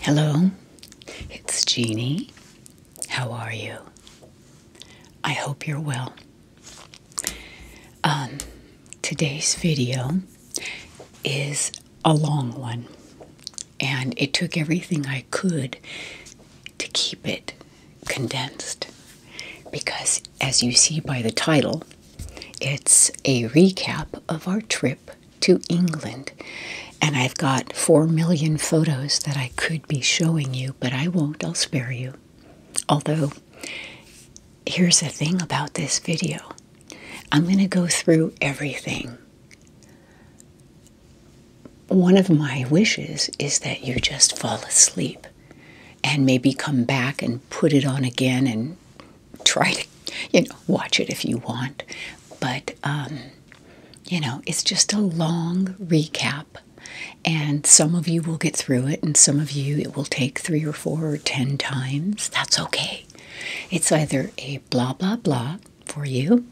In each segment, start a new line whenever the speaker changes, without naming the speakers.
Hello, it's Jeannie. How are you? I hope you're well. Um, today's video is a long one, and it took everything I could to keep it condensed because, as you see by the title, it's a recap of our trip to England. And I've got four million photos that I could be showing you, but I won't, I'll spare you. Although, here's the thing about this video I'm going to go through everything one of my wishes is that you just fall asleep and maybe come back and put it on again and try to, you know, watch it if you want. But, um, you know, it's just a long recap. And some of you will get through it, and some of you it will take three or four or ten times. That's okay. It's either a blah, blah, blah for you,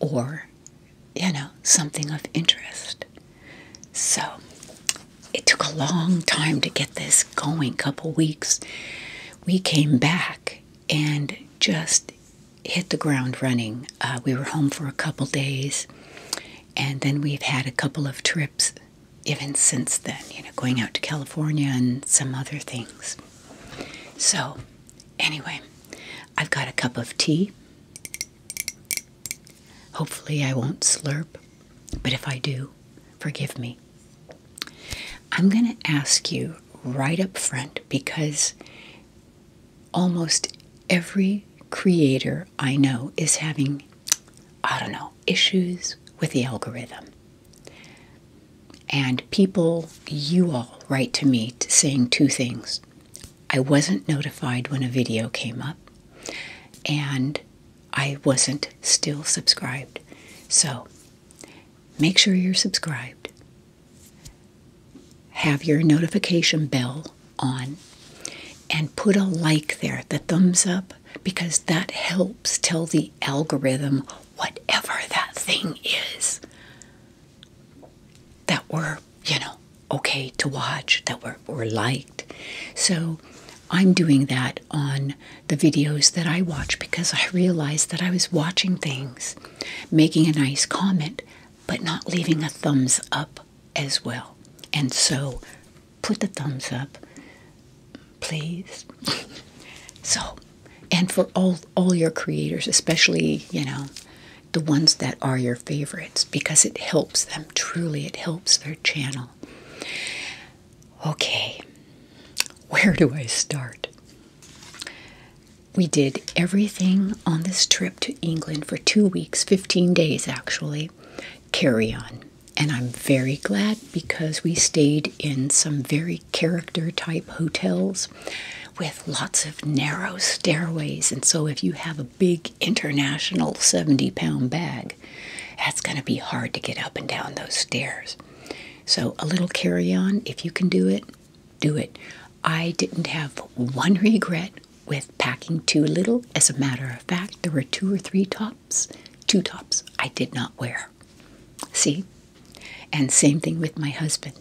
or you know, something of interest. So it took a long time to get this going, couple weeks. We came back and just hit the ground running. Uh, we were home for a couple days, and then we've had a couple of trips even since then, you know, going out to California and some other things. So, anyway, I've got a cup of tea. Hopefully, I won't slurp, but if I do, forgive me. I'm going to ask you right up front because almost every creator I know is having, I don't know, issues with the algorithm. And people, you all write to me saying two things. I wasn't notified when a video came up, and I wasn't still subscribed. So make sure you're subscribed. Have your notification bell on and put a like there, the thumbs up, because that helps tell the algorithm whatever that thing is that were, you know, okay to watch, that were, were liked. So I'm doing that on the videos that I watch because I realized that I was watching things, making a nice comment, but not leaving a thumbs up as well. And so put the thumbs up, please. so, and for all all your creators, especially, you know, the ones that are your favorites because it helps them truly, it helps their channel. Okay, where do I start? We did everything on this trip to England for two weeks, 15 days actually, carry on. And I'm very glad because we stayed in some very character type hotels with lots of narrow stairways. And so, if you have a big international 70 pound bag, that's going to be hard to get up and down those stairs. So, a little carry on, if you can do it, do it. I didn't have one regret with packing too little. As a matter of fact, there were two or three tops, two tops I did not wear. See? And same thing with my husband.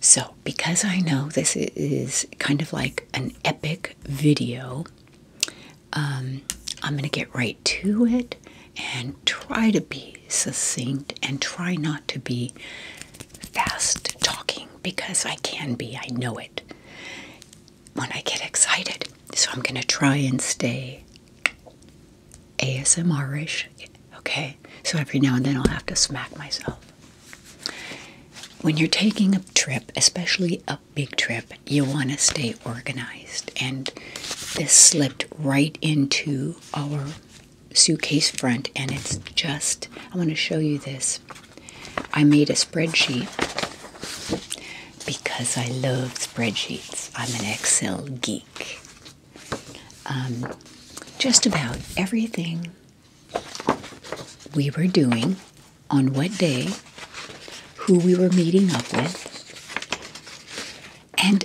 So, because I know this is kind of like an epic video, um, I'm going to get right to it and try to be succinct and try not to be fast talking because I can be, I know it when I get excited. So, I'm going to try and stay ASMR ish, okay? So every now and then I'll have to smack myself. When you're taking a trip, especially a big trip, you want to stay organized. And this slipped right into our suitcase front, and it's just, I want to show you this. I made a spreadsheet because I love spreadsheets. I'm an Excel geek. Um, just about everything we were doing, on what day, who we were meeting up with. And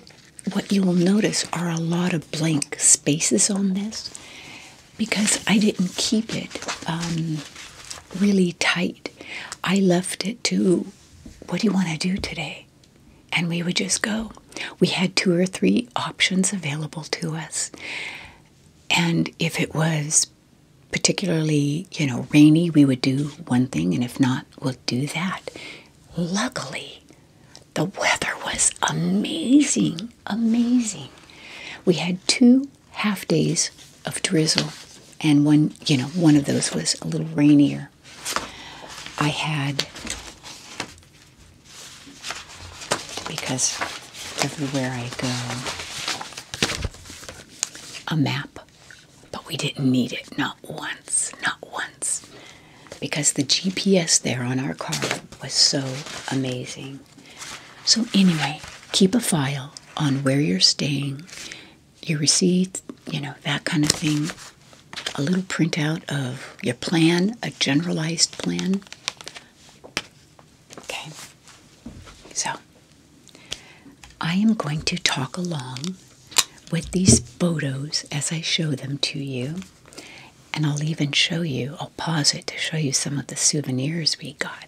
what you will notice are a lot of blank spaces on this because I didn't keep it um, really tight. I left it to, what do you want to do today? And we would just go. We had two or three options available to us. And if it was particularly, you know, rainy, we would do one thing, and if not, we'll do that. Luckily, the weather was amazing, amazing. We had two half days of drizzle, and one, you know, one of those was a little rainier. I had because everywhere I go, a map. But we didn't need it, not once, not once. Because the GPS there on our car was so amazing. So, anyway, keep a file on where you're staying, your receipts, you know, that kind of thing. A little printout of your plan, a generalized plan. Okay, so I am going to talk along with these photos as I show them to you, and I'll even show you, I'll pause it to show you some of the souvenirs we got.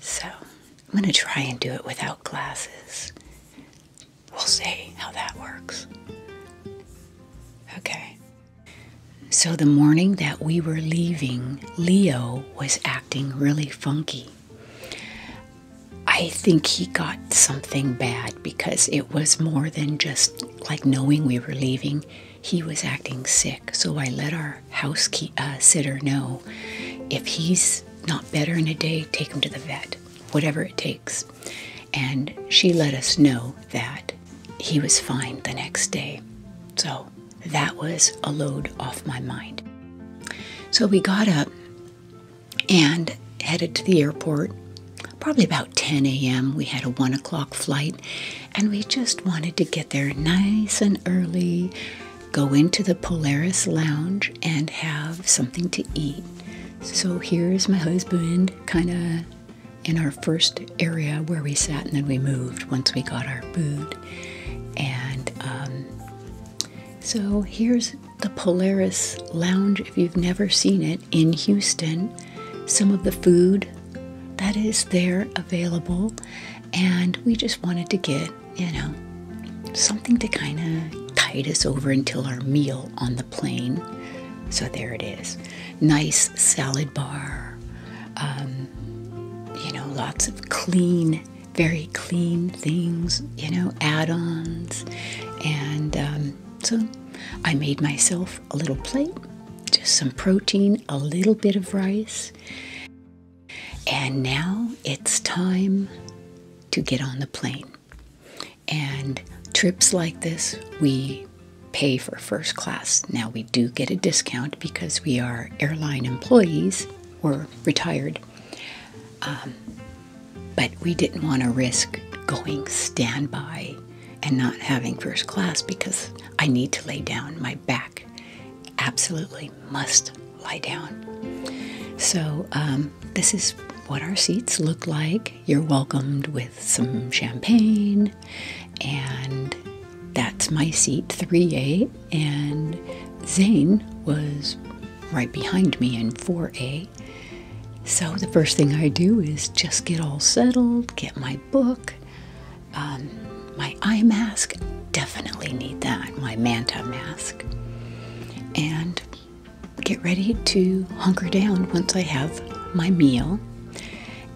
So I'm going to try and do it without glasses. We'll see how that works. Okay. So, the morning that we were leaving, Leo was acting really funky. I think he got something bad because it was more than just like knowing we were leaving. He was acting sick, so I let our house uh, sitter know if he's not better in a day, take him to the vet, whatever it takes. And she let us know that he was fine the next day. So that was a load off my mind. So we got up and headed to the airport. Probably about 10 a.m., we had a 1 o'clock flight, and we just wanted to get there nice and early, go into the Polaris lounge, and have something to eat. So here's my husband kind of in our first area where we sat, and then we moved once we got our food. And um, so here's the Polaris Lounge. If you've never seen it in Houston, some of the food that is there available, and we just wanted to get, you know, something to kind of tide us over until our meal on the plane. So there it is nice salad bar. Um, you know, lots of clean, very clean things, you know, add ons. And um, so I made myself a little plate, just some protein, a little bit of rice. And now it's time to get on the plane. And trips like this, we pay for first class. Now we do get a discount because we are airline employees, we're retired. Um, but we didn't want to risk going standby and not having first class because I need to lay down. My back absolutely must lie down. So, um, this is what our seats look like. You're welcomed with some champagne, and that's my seat 3A. And Zane was right behind me in 4A. So the first thing I do is just get all settled, get my book, um, my eye mask. Definitely need that, my manta mask, and get ready to hunker down once I have my meal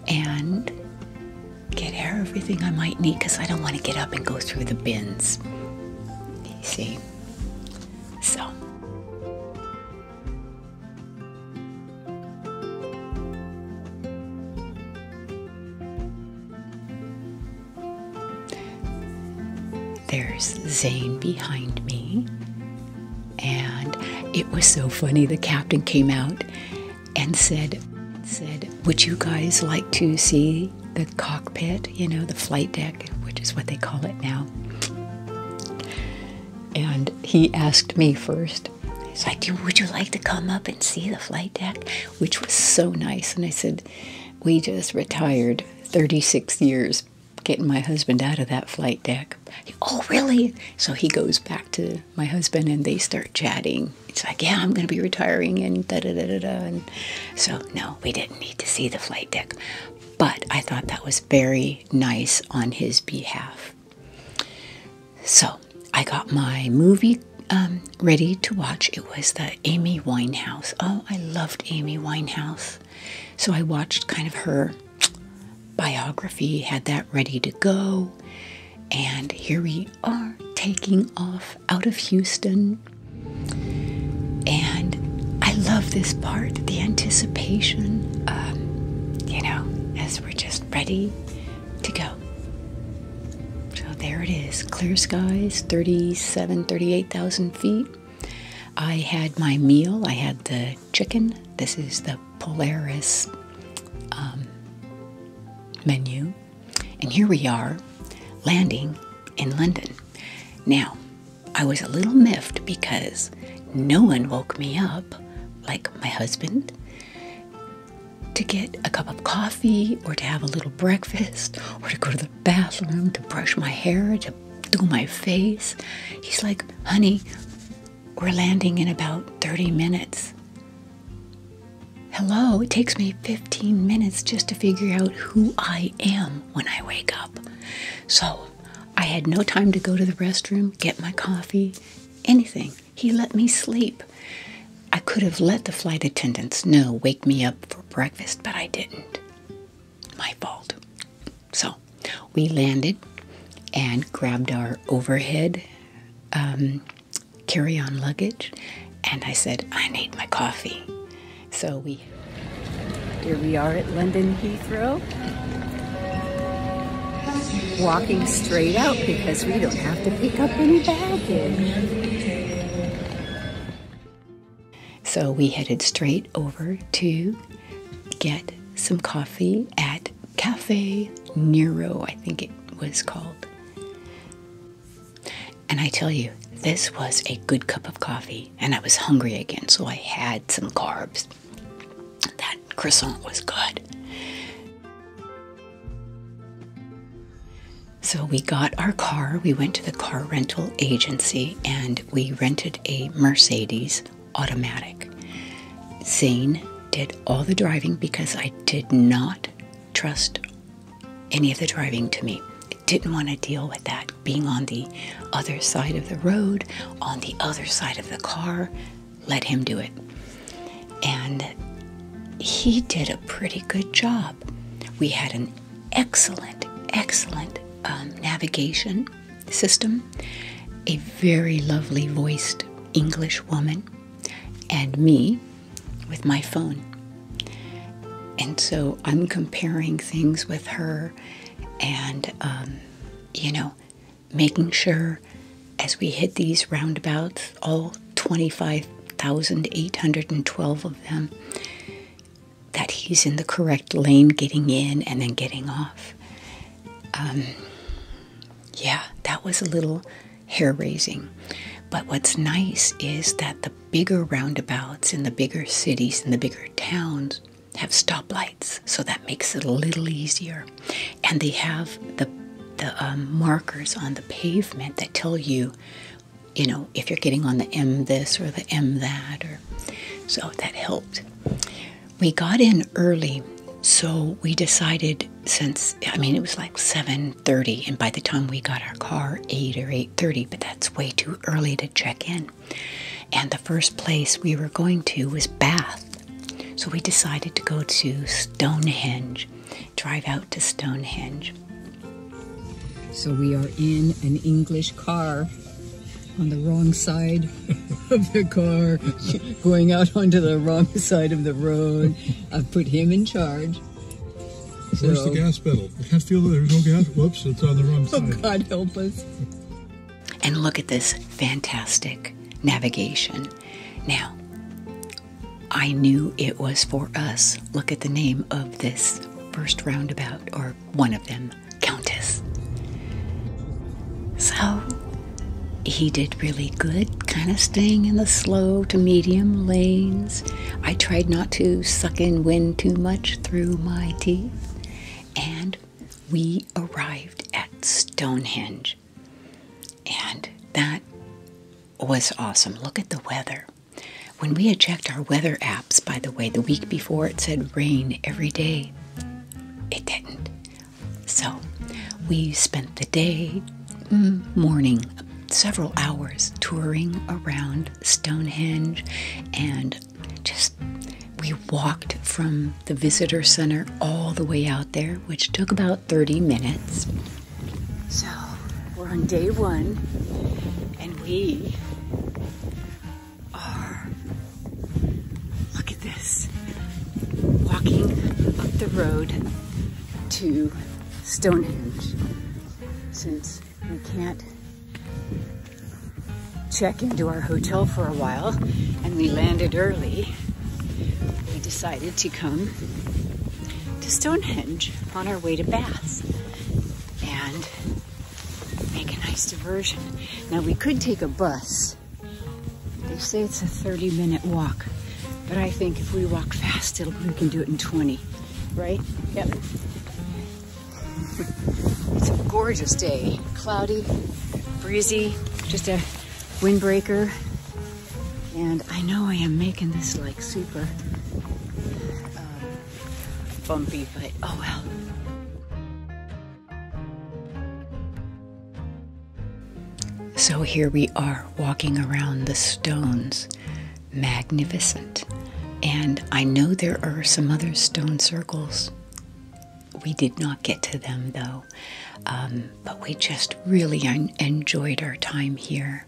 and get everything I might need because I don't want to get up and go through the bins. You see? So. There's Zane behind me, and it was so funny. The captain came out and said, said, "Would you guys like to see the cockpit? You know, the flight deck, which is what they call it now." And he asked me first. He's like, "Would you like to come up and see the flight deck?" Which was so nice. And I said, "We just retired 36 years." Getting my husband out of that flight deck. Oh, really? So he goes back to my husband and they start chatting. It's like, yeah, I'm going to be retiring and da da da da da. so, no, we didn't need to see the flight deck. But I thought that was very nice on his behalf. So I got my movie um, ready to watch. It was the Amy Winehouse. Oh, I loved Amy Winehouse. So I watched kind of her biography had that ready to go. And here we are taking off out of Houston. And I love this part the anticipation, um, you know, as we're just ready to go. So there it is clear skies, 37, 38,000 feet. I had my meal, I had the chicken. This is the Polaris um, menu. And here we are landing in London. Now, I was a little miffed because no one woke me up, like my husband, to get a cup of coffee or to have a little breakfast or to go to the bathroom, to brush my hair, to do my face. He's like, honey, we're landing in about 30 minutes. Hello, it takes me 15 minutes just to figure out who I am when I wake up. So I had no time to go to the restroom, get my coffee, anything. He let me sleep. I could have let the flight attendants know, wake me up for breakfast, but I didn't. My fault. So we landed and grabbed our overhead um, carry on luggage. And I said, I need my coffee. So we. Here we are at London Heathrow. Walking straight out because we don't have to pick up any baggage. So we headed straight over to get some coffee at Cafe Nero, I think it was called. And I tell you, this was a good cup of coffee, and I was hungry again, so I had some carbs. That croissant was good. So we got our car, we went to the car rental agency, and we rented a Mercedes automatic. Zane did all the driving because I did not trust any of the driving to me. didn't want to deal with that being on the other side of the road, on the other side of the car. Let him do it. And he did a pretty good job. We had an excellent, excellent um, navigation system, a very lovely voiced English woman and me with my phone. And so I'm comparing things with her and, um, you know, making sure as we hit these roundabouts, all 25,812 of them, that he's in the correct lane getting in and then getting off. Um, yeah, that was a little hair raising. But what's nice is that the bigger roundabouts in the bigger cities and the bigger towns have stoplights, so that makes it a little easier. And they have the the um, markers on the pavement that tell you, you know, if you're getting on the M this or the M that, or so that helped we got in early, so we decided since I mean it was like 7:30 and by the time we got our car 8 or 8:30, but that's way too early to check in. And the first place we were going to was Bath. So we decided to go to Stonehenge, drive out to Stonehenge. So we are in an English car on the wrong side of the car. going out onto the wrong side of the road. I've put him in charge. Where's the gas pedal? I can't feel that there's no gas. Whoops, it's on the wrong oh, side. Oh, God help us. And look at this fantastic navigation. Now, I knew it was for us. Look at the name of this first roundabout, or one of them, Countess. So, he did really good, kind of staying in the slow to medium lanes. I tried not to suck in wind too much through my teeth. And we arrived at Stonehenge. And that was awesome. Look at the weather. When we had checked our weather apps, by the way, the week before it said rain every day, it didn't. So we spent the day, mm, morning, several hours touring around Stonehenge and just we walked from the visitor center all the way out there, which took about 30 minutes. So we're on day one and we are this. Walking up the road to Stonehenge since we can't check into our hotel for a while and we landed early. We decided to come to Stonehenge on our way to Bath and make a nice diversion. Now we could take a bus they say it's a 30 minute walk, but I think if we walk fast, we can do it in 20, right? Yep. It's a gorgeous day. Cloudy, breezy, just a windbreaker. And I know I am making this like super uh, bumpy, but oh well. So here we are walking around the stones, magnificent. And I know there are some other stone circles. We did not get to them though, um, but we just really enjoyed our time here.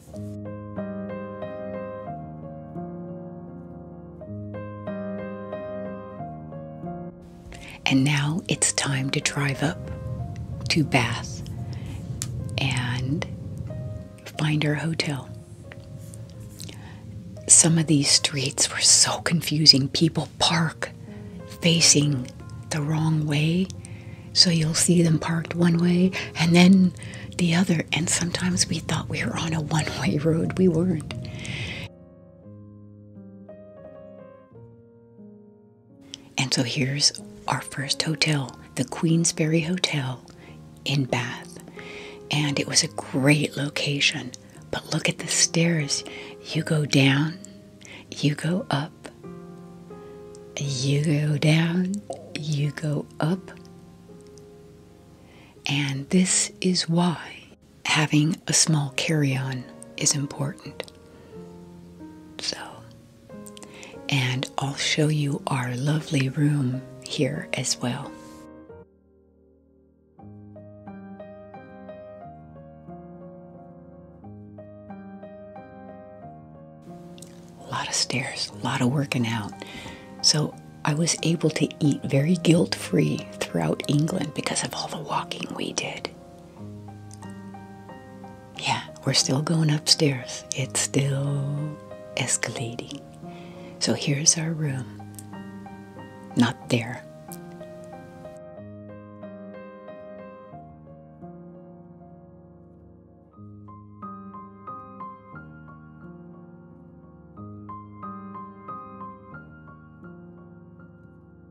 And now it's time to drive up to Bath and find our hotel. Some of these streets were so confusing. People park facing the wrong way. So you'll see them parked one way and then the other. And sometimes we thought we were on a one way road. We weren't. And so here's our first hotel, the Queensberry Hotel in Bath. And it was a great location. But look at the stairs. You go down, you go up, you go down, you go up. And this is why having a small carry on is important. So, and I'll show you our lovely room here as well. A lot of stairs, a lot of working out. So I was able to eat very guilt free throughout England because of all the walking we did. Yeah, we're still going upstairs. It's still escalating. So here's our room. Not there.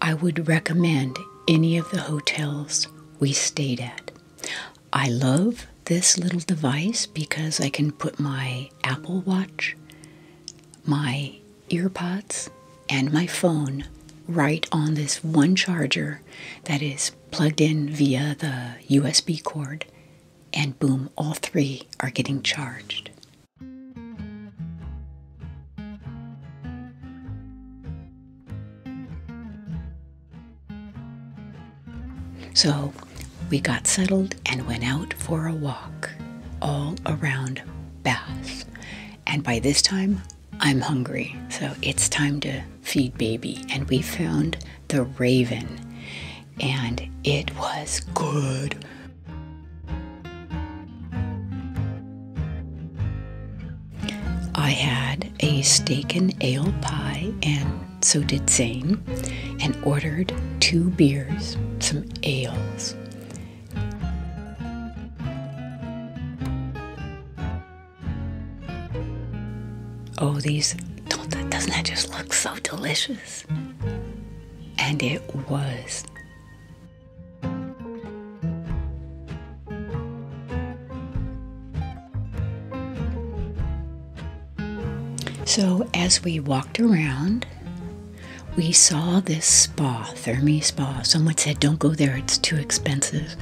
I would recommend any of the hotels we stayed at. I love this little device because I can put my Apple Watch, my earpods, and my phone right on this one charger that is plugged in via the USB cord, and boom, all three are getting charged. So we got settled and went out for a walk all around Bath. And by this time, I'm hungry, so it's time to feed baby. And we found the raven, and it was good. I had a steak and ale pie, and so did Zane, and ordered two beers, some ales. Oh, these, doesn't that just look so delicious? And it was. So, as we walked around, we saw this spa, Thermi Spa. Someone said, Don't go there, it's too expensive.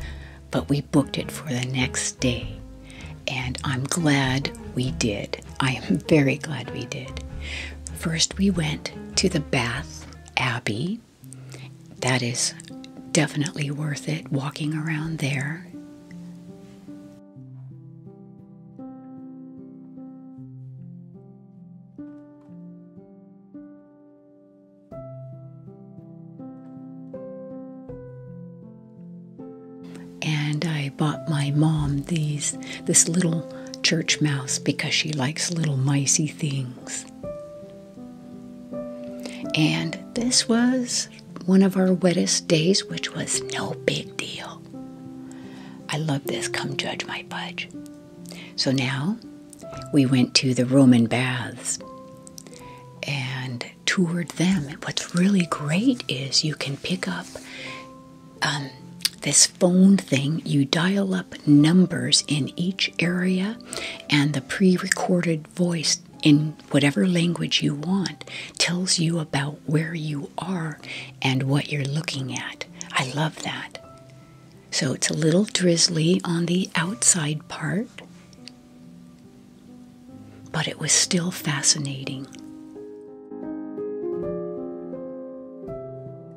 But we booked it for the next day. And I'm glad we did. I am very glad we did. First, we went to the bath Abbey. That is definitely worth it walking around there. And I bought my mom these this little church mouse because she likes little micey things. And this was one of our wettest days, which was no big deal. I love this. Come judge my budge. So now we went to the Roman baths and toured them. what's really great is you can pick up um, this phone thing, you dial up numbers in each area and the pre recorded voice in whatever language you want tells you about where you are and what you're looking at. I love that. So it's a little drizzly on the outside part, but it was still fascinating.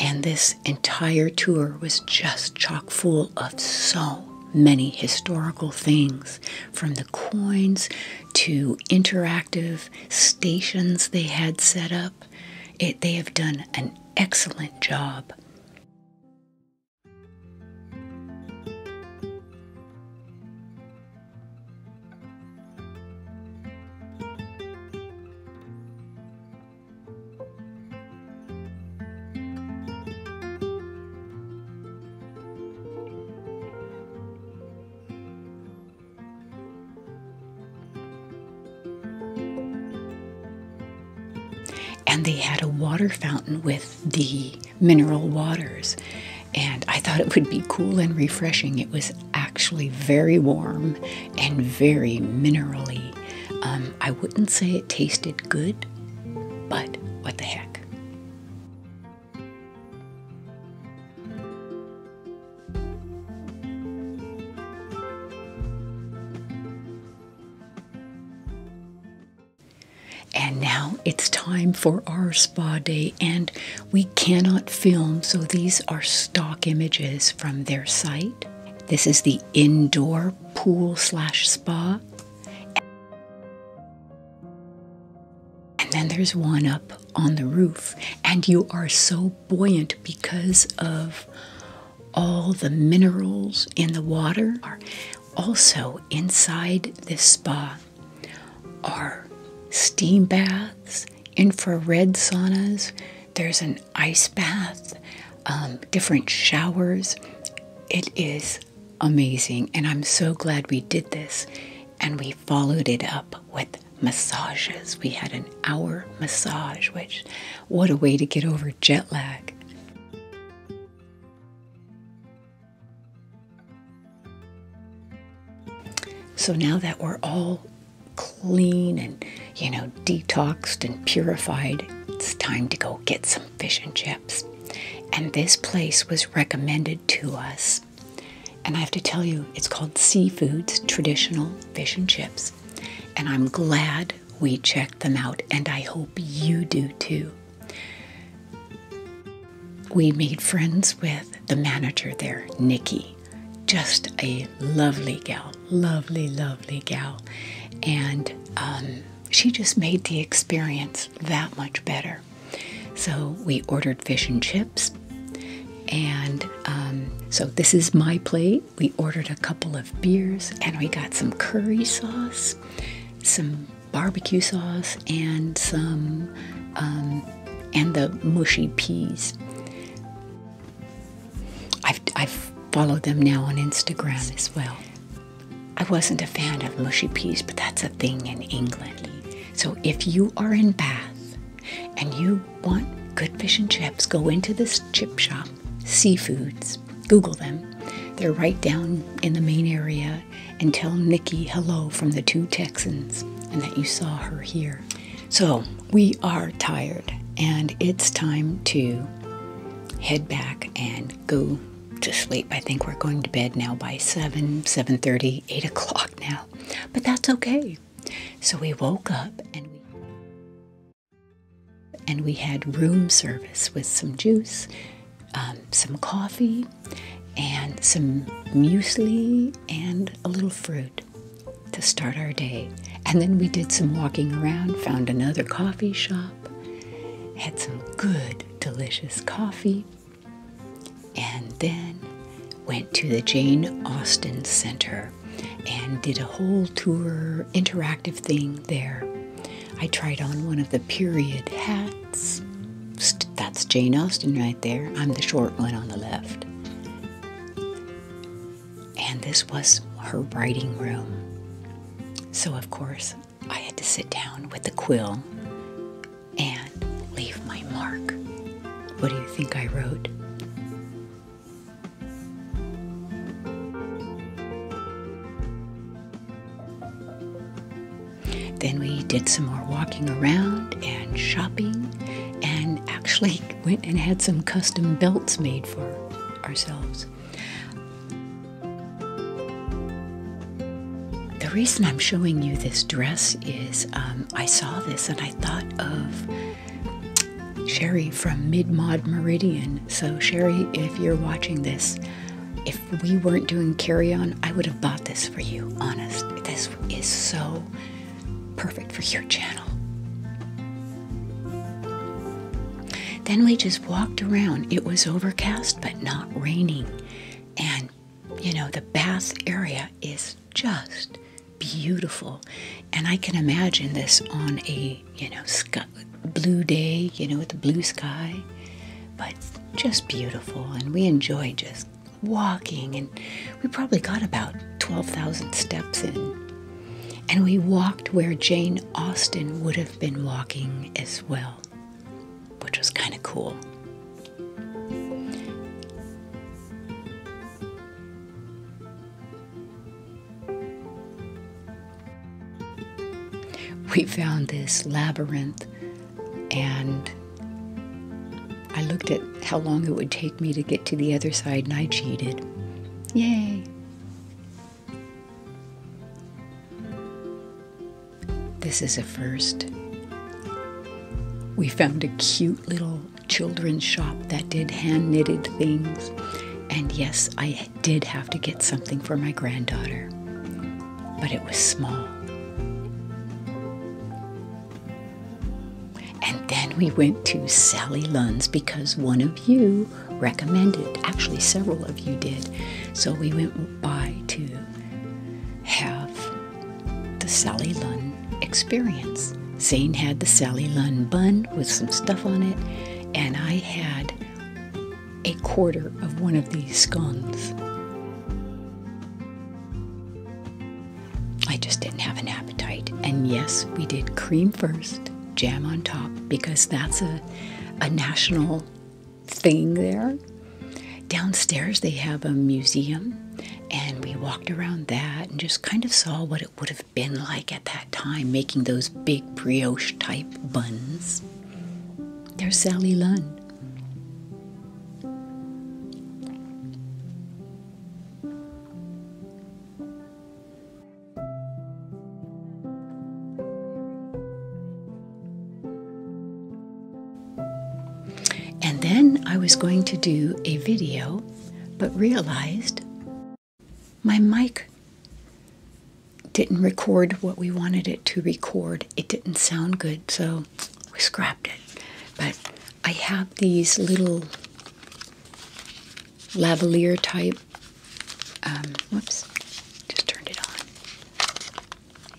And this entire tour was just chock full of so many historical things from the coins to interactive stations they had set up. they have done an excellent job and they had a water fountain with the mineral waters. And I thought it would be cool and refreshing. It was actually very warm and very minerally. Um, I wouldn't say it tasted good, but what the heck. And now it's time for our spa day, and we cannot film, so these are stock images from their site. This is the indoor pool slash spa. And then there's one up on the roof. And you are so buoyant because of all the minerals in the water. Also, inside this spa are steam baths infrared saunas, there's an ice bath, um, different showers. It is amazing, and I'm so glad we did this. And we followed it up with massages. We had an hour massage, which, what a way to get over jet lag! So now that we're all clean and, you know, detoxed and purified, it's time to go get some fish and chips. And this place was recommended to us. And I have to tell you, it's called Seafoods Traditional Fish and Chips. And I'm glad we checked them out, and I hope you do too. We made friends with the manager there, Nikki just a lovely gal, lovely, lovely gal. And um, she just made the experience that much better. So we ordered fish and chips. And um, so this is my plate. We ordered a couple of beers and we got some curry sauce, some barbecue sauce, and some, um, and the mushy peas. I've, followed them now on Instagram as well. I wasn't a fan of mushy peas, but that's a thing in England. So if you are in Bath and you want good fish and chips, go into this chip shop, Seafoods, Google them. They're right down in the main area and tell Nikki hello from the two Texans and that you saw her here. So we are tired and it's time to head back and go to sleep. I think we're going to bed now by 7, 7.30, 8 o'clock now. But that's okay. So we woke up and we had room service with some juice, um, some coffee, and some muesli and a little fruit to start our day. And then we did some walking around, found another coffee shop, had some good, delicious coffee, and then went to the Jane Austen Center and did a whole tour, interactive thing there. I tried on one of the period hats. That's Jane Austen right there. I'm the short one on the left. And this was her writing room. So, of course, I had to sit down with the quill and leave my mark. What do you think I wrote? Then we did some more walking around and shopping and actually went and had some custom belts made for ourselves. The reason I'm showing you this dress is um, I saw this and I thought of Sherry from Mid Mod Meridian. So, Sherry, if you're watching this, if we weren't doing carry on, I would have bought this for you, honest. This is so perfect for your channel. Then we just walked around. It was overcast but not raining. And you know, the bath area is just beautiful. And I can imagine this on a, you know, sky, blue day, you know, with the blue sky. But just beautiful. And we enjoy just walking, and we probably got about 12,000 steps in. And we walked where Jane Austen would have been walking as well, which was kind of cool. We found this labyrinth and I looked at how long it would take me to get to the other side, and I cheated. Yay! This is a first. We found a cute little children's shop that did hand knitted things. And yes, I did have to get something for my granddaughter, but it was small. And then we went to Sally Lunn's because one of you recommended, actually, several of you did. So we went by to have the Sally Lunn experience. Zane had the Sally Lunn bun with some stuff on it, and I had a quarter of one of these scones. I just didn't have an appetite. And yes, we did cream first, jam on top, because that's a, a national thing there. Downstairs, they have a museum, and we walked around that and just kind of saw what it would have been like at that time making those big brioche type buns. There's Sally Lunn. And then I was going to do a video, but realized my mic didn't record what we wanted it to record. It didn't sound good, so we scrapped it. But I have these little lavalier type. Um, whoops, just turned it on.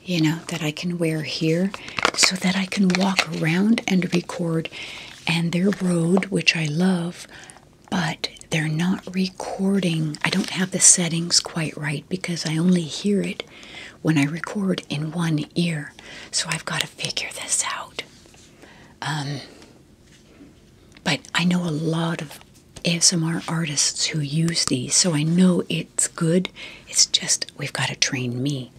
You know, that I can wear here so that I can walk around and record. And they're Rode, which I love, but they're not recording. I don't have the settings quite right because I only hear it when I record in one ear. So I've got to figure this out. Um, but I know a lot of ASMR artists who use these, so I know it's good. It's just we've got to train me.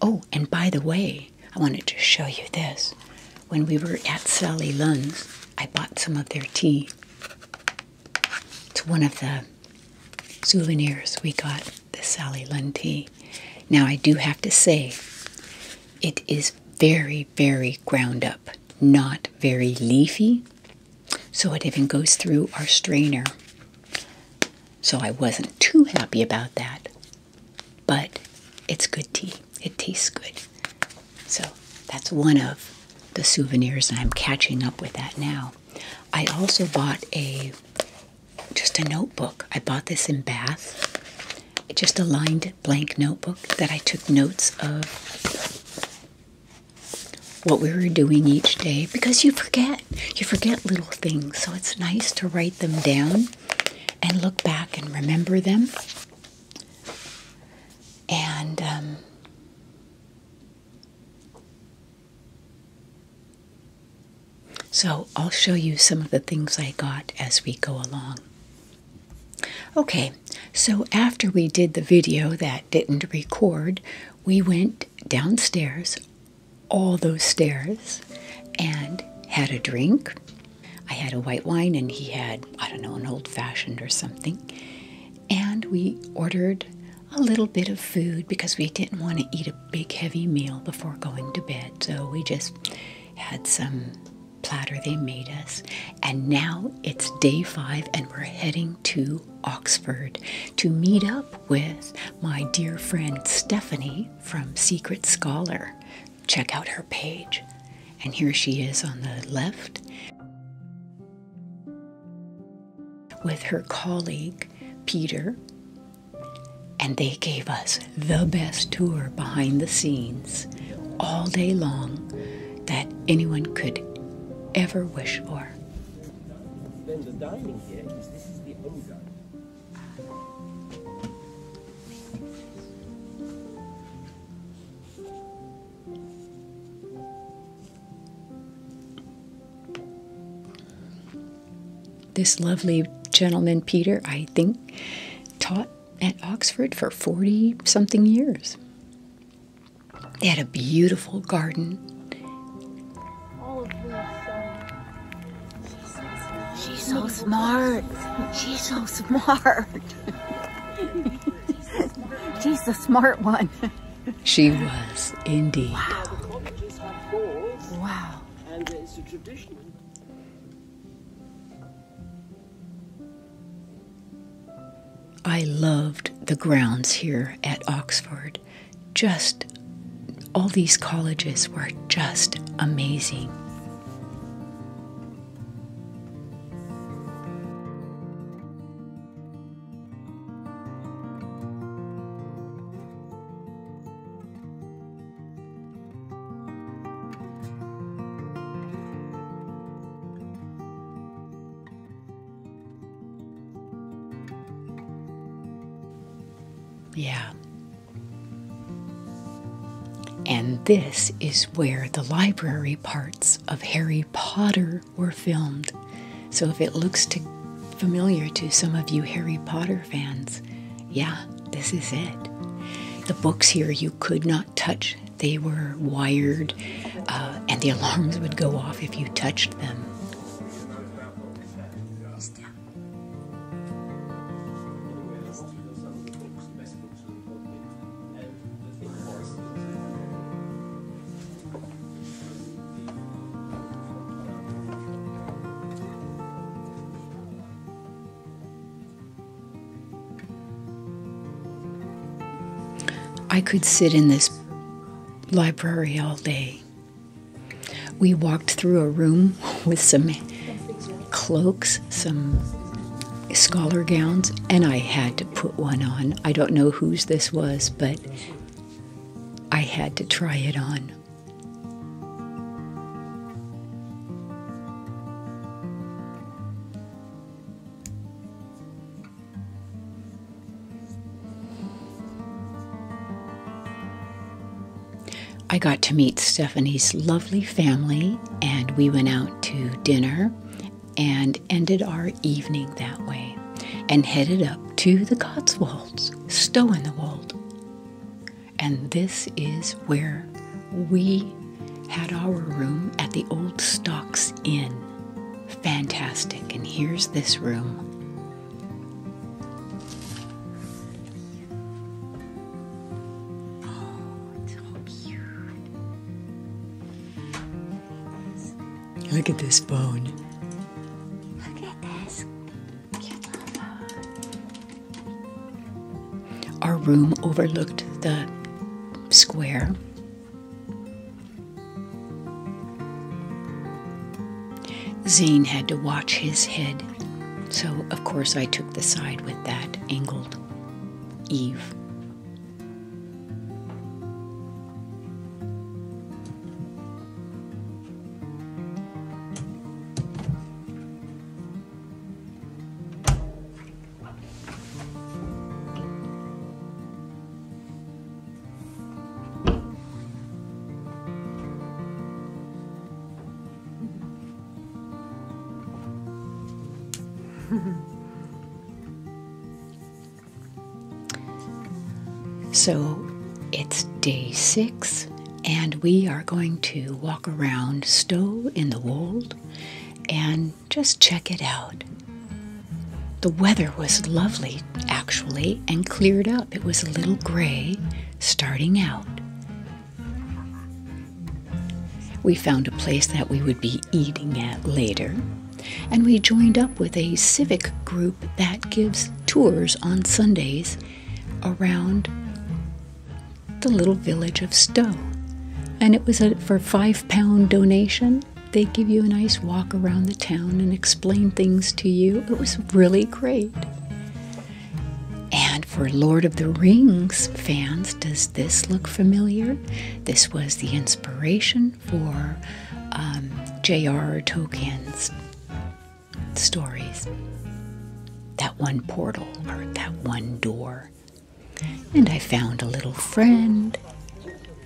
Oh, and by the way, I wanted to show you this. When we were at Sally Lunn's, I bought some of their tea. It's one of the souvenirs we got, the Sally Lunn tea. Now, I do have to say, it is very, very ground up, not very leafy. So it even goes through our strainer. So I wasn't too happy about that. But it's good tea. It tastes good. So that's one of the souvenirs, and I'm catching up with that now. I also bought a just a notebook. I bought this in Bath. It's Just a lined blank notebook that I took notes of what we were doing each day because you forget. You forget little things. So it's nice to write them down and look back and remember them. And, um, so I'll show you some of the things I got as we go along. Okay, so after we did the video that didn't record, we went downstairs, all those stairs, and had a drink. I had a white wine and he had, I don't know, an old fashioned or something. And we ordered a little bit of food because we didn't want to eat a big heavy meal before going to bed. So we just had some platter they made us. And now it's day five, and we're heading to Oxford to meet up with my dear friend Stephanie from Secret Scholar. Check out her page. And here she is on the left with her colleague Peter and they gave us the best tour behind the scenes all day long that anyone could ever wish for. This lovely gentleman, Peter, I think, taught at Oxford for 40 something years. They had a beautiful garden. All of this. she's so smart. She's so smart. she's the smart one. she was indeed. Wow. I loved the grounds here at Oxford. Just all these colleges were just amazing. Yeah. And this is where the library parts of Harry Potter were filmed. So if it looks familiar to some of you Harry Potter fans, yeah, this is it. The books here you could not touch, they were wired, uh, and the alarms would go off if you touched them. I could sit in this library all day. We walked through a room with some cloaks, some scholar gowns, and I had to put one on. I don't know whose this was, but I had to try it on. I got to meet Stephanie's lovely family, and we went out to dinner and ended our evening that way and headed up to the Cotswolds, Stow in the Wold. And this is where we had our room at the Old Stocks Inn. Fantastic. And here's this room. Look at this bone. Look at this. Our room overlooked the square. Zane had to watch his head, so of course I took the side with that angled Eve so it's day six and we are going to walk around Stowe in the Wold and just check it out. The weather was lovely actually and cleared up. It was a little gray starting out. We found a place that we would be eating at later, and we joined up with a civic group that gives tours on Sundays around the little village of Stow, And it was for five pound donation. They give you a nice walk around the town and explain things to you. It was really great. And for Lord of the Rings fans, does this look familiar? This was the inspiration for um, J.R.R. Tolkien's stories, that one portal or that one door. And I found a little friend,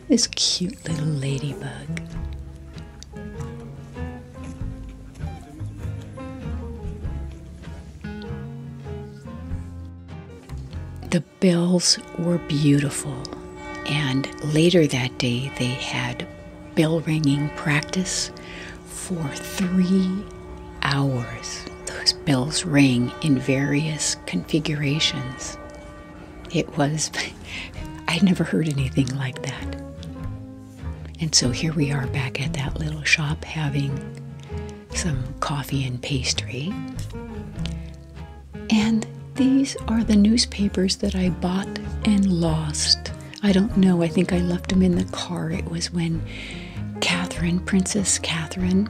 this cute little ladybug. The bells were beautiful, and later that day they had bell ringing practice for three hours, those bells rang in various configurations. It was, I'd never heard anything like that. And so here we are back at that little shop having some coffee and pastry. And these are the newspapers that I bought and lost I don't know. I think I left them in the car. It was when Catherine, Princess Catherine,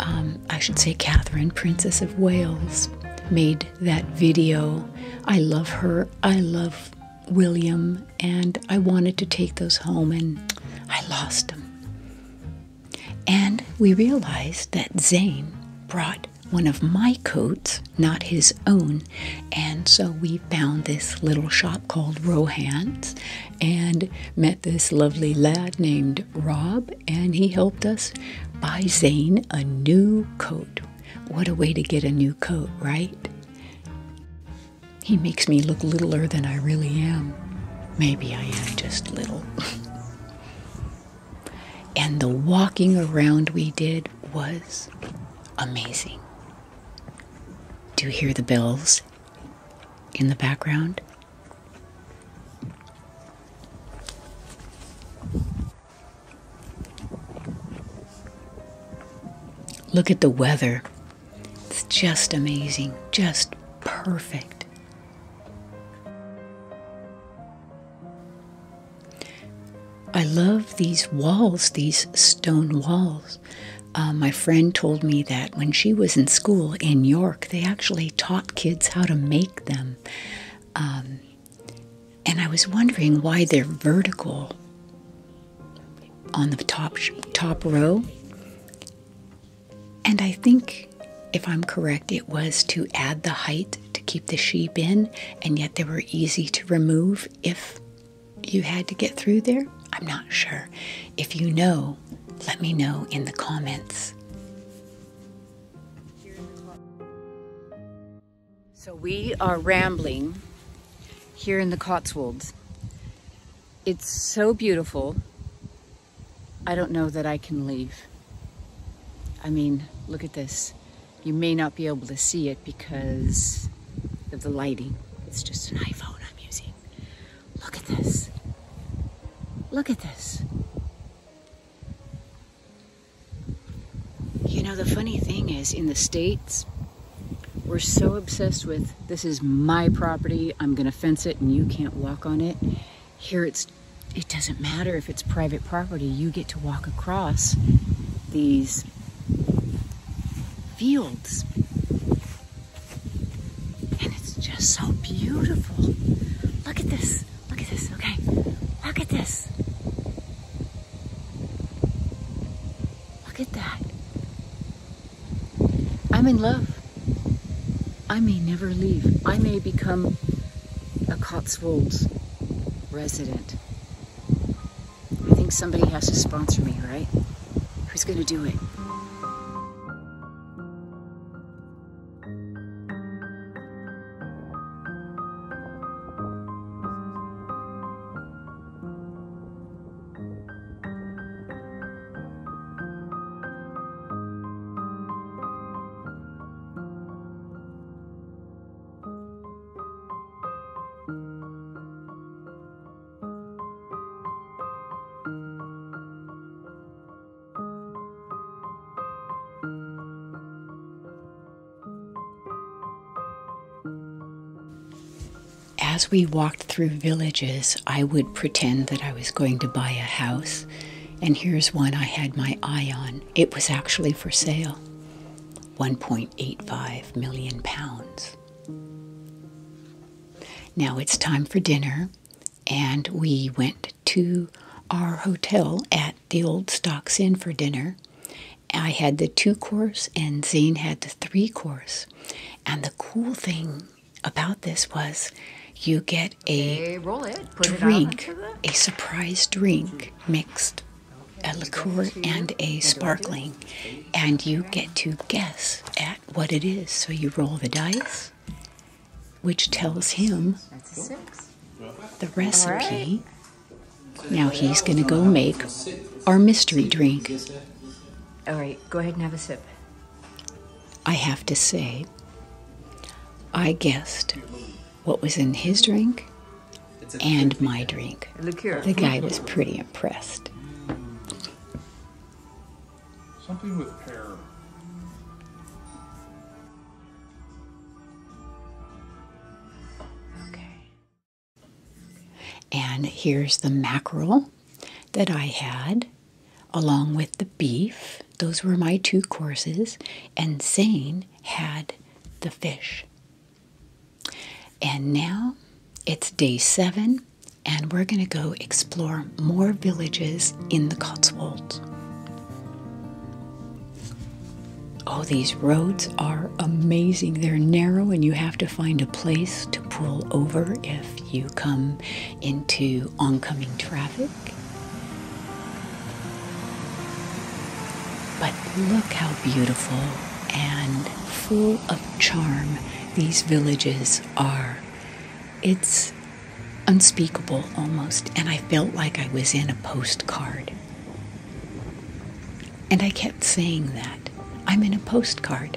um, I should say Catherine, Princess of Wales, made that video. I love her. I love William, and I wanted to take those home, and I lost them. And we realized that Zane brought one of my coats, not his own, and so we found this little shop called Rohan's and met this lovely lad named Rob, and he helped us buy Zane a new coat. What a way to get a new coat, right? He makes me look littler than I really am. Maybe I am just little. and the walking around we did was amazing. Do you hear the bells in the background. Look at the weather. It's just amazing, just perfect. I love these walls, these stone walls. Uh, my friend told me that when she was in school in York, they actually taught kids how to make them. Um, and I was wondering why they're vertical on the top top row. And I think, if I'm correct, it was to add the height to keep the sheep in, and yet they were easy to remove if you had to get through there? I'm not sure. If you know, let me know in the comments. So we are rambling here in the Cotswolds. It's so beautiful. I don't know that I can leave. I mean, look at this. You may not be able to see it because of the lighting. It's just an iPhone I'm using. Look at this. Look at this. You know, the funny thing is, in the States, we're so obsessed with this is my property, I'm going to fence it, and you can't walk on it. Here, it's it doesn't matter if it's private property, you get to walk across these fields and it's just so beautiful. Look at this. Look at this. Okay. Look at this. Look at that. I'm in love. I may never leave. I may become a Cotswolds resident. I think somebody has to sponsor me, right? Who's going to do it? as we walked through villages, I would pretend that I was going to buy a house. And here's one I had my eye on. It was actually for sale 1.85 million pounds. Now it's time for dinner, and we went to our hotel at the old Stocks Inn for dinner. I had the two course, and Zane had the three course. And the cool thing about this was you get a drink, a surprise drink mixed a liqueur and a sparkling, and you get to guess at what it is. So you roll the dice, which tells him the recipe. Now he's going to go make our mystery drink. All right, go ahead and have a sip. I have to say, I guessed what was in his drink and my drink. The guy was pretty impressed. Something with pear. Okay. And here's the mackerel that I had along with the beef. Those were my two courses. And Zane had the fish. And now it's day seven and we're going to go explore more villages in the Cotswolds. Oh, these roads are amazing. They're narrow, and you have to find a place to pull over if you come into oncoming traffic. But look how beautiful and full of charm these villages are. It's unspeakable almost, and I felt like I was in a postcard. And I kept saying that I'm in a postcard.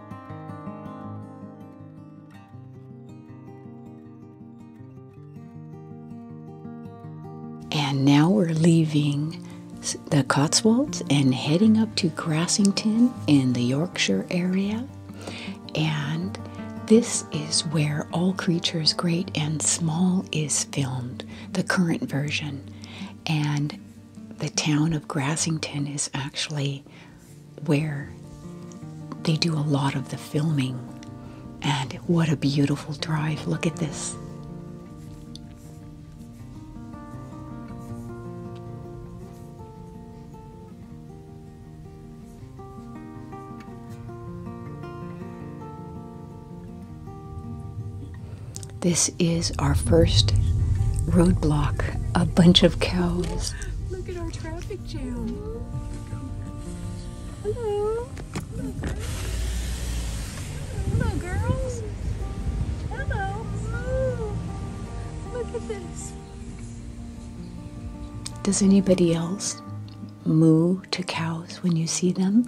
And now we're leaving the Cotswolds and heading up to Grassington in the Yorkshire area. And this is where All Creatures Great and Small is filmed, the current version. And the town of Grassington is actually where they do a lot of the filming. And what a beautiful drive. Look at this. This is our first roadblock a bunch of cows. Look at our traffic jam. Hello. Hello, girls. Hello. Ooh. Look at this. Does anybody else moo to cows when you see them?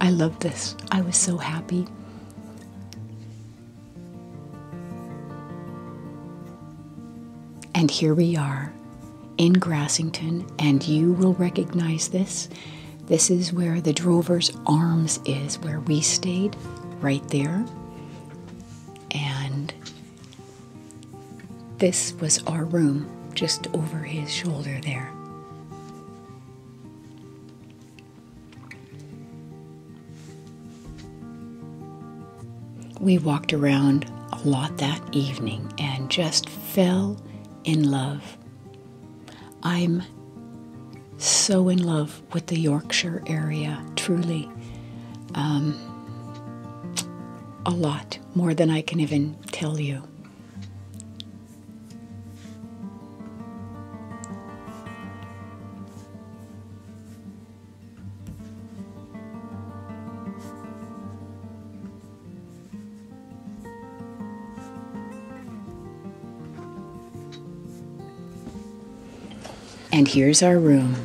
I love this. I was so happy. And here we are in Grassington, and you will recognize this. This is where the Drover's Arms is, where we stayed, right there. And this was our room, just over his shoulder there. We walked around a lot that evening and just fell in love. I'm so in love with the Yorkshire area, truly. Um, a lot, more than I can even tell you. And here's our room.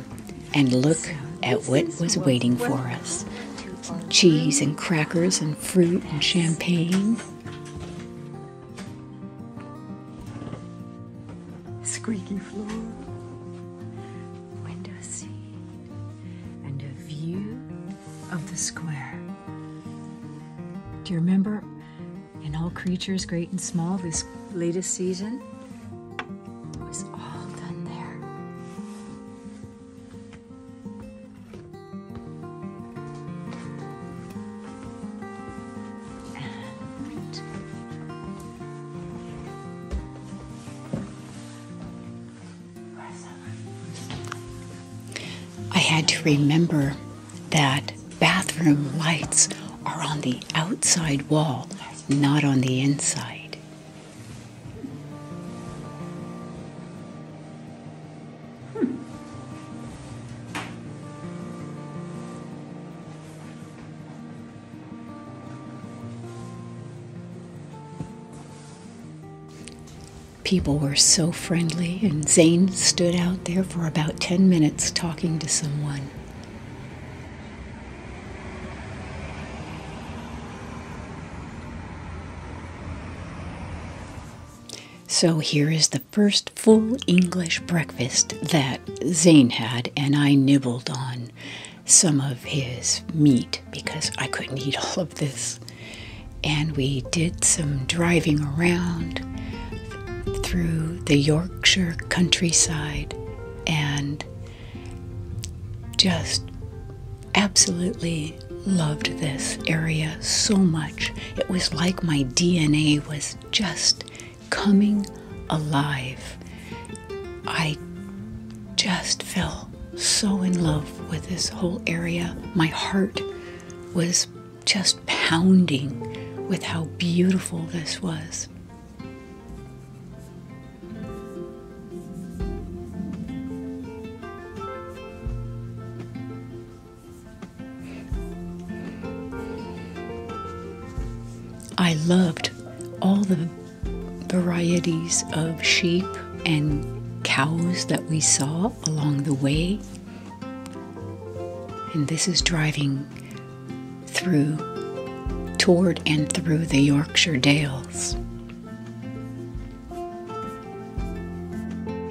And look at what was waiting for us cheese and crackers and fruit and champagne. Squeaky floor, window seat, and a view of the square. Do you remember in All Creatures Great and Small this latest season? was all done there. I had to remember that bathroom lights are on the outside wall, not on the inside. People were so friendly, and Zane stood out there for about 10 minutes talking to someone. So here is the first full English breakfast that Zane had, and I nibbled on some of his meat because I couldn't eat all of this. And we did some driving around through the Yorkshire countryside and just absolutely loved this area so much. It was like my DNA was just coming alive. I just fell so in love with this whole area. My heart was just pounding with how beautiful this was. I loved all the varieties of sheep and cows that we saw along the way. And this is driving through, toward and through the Yorkshire Dales.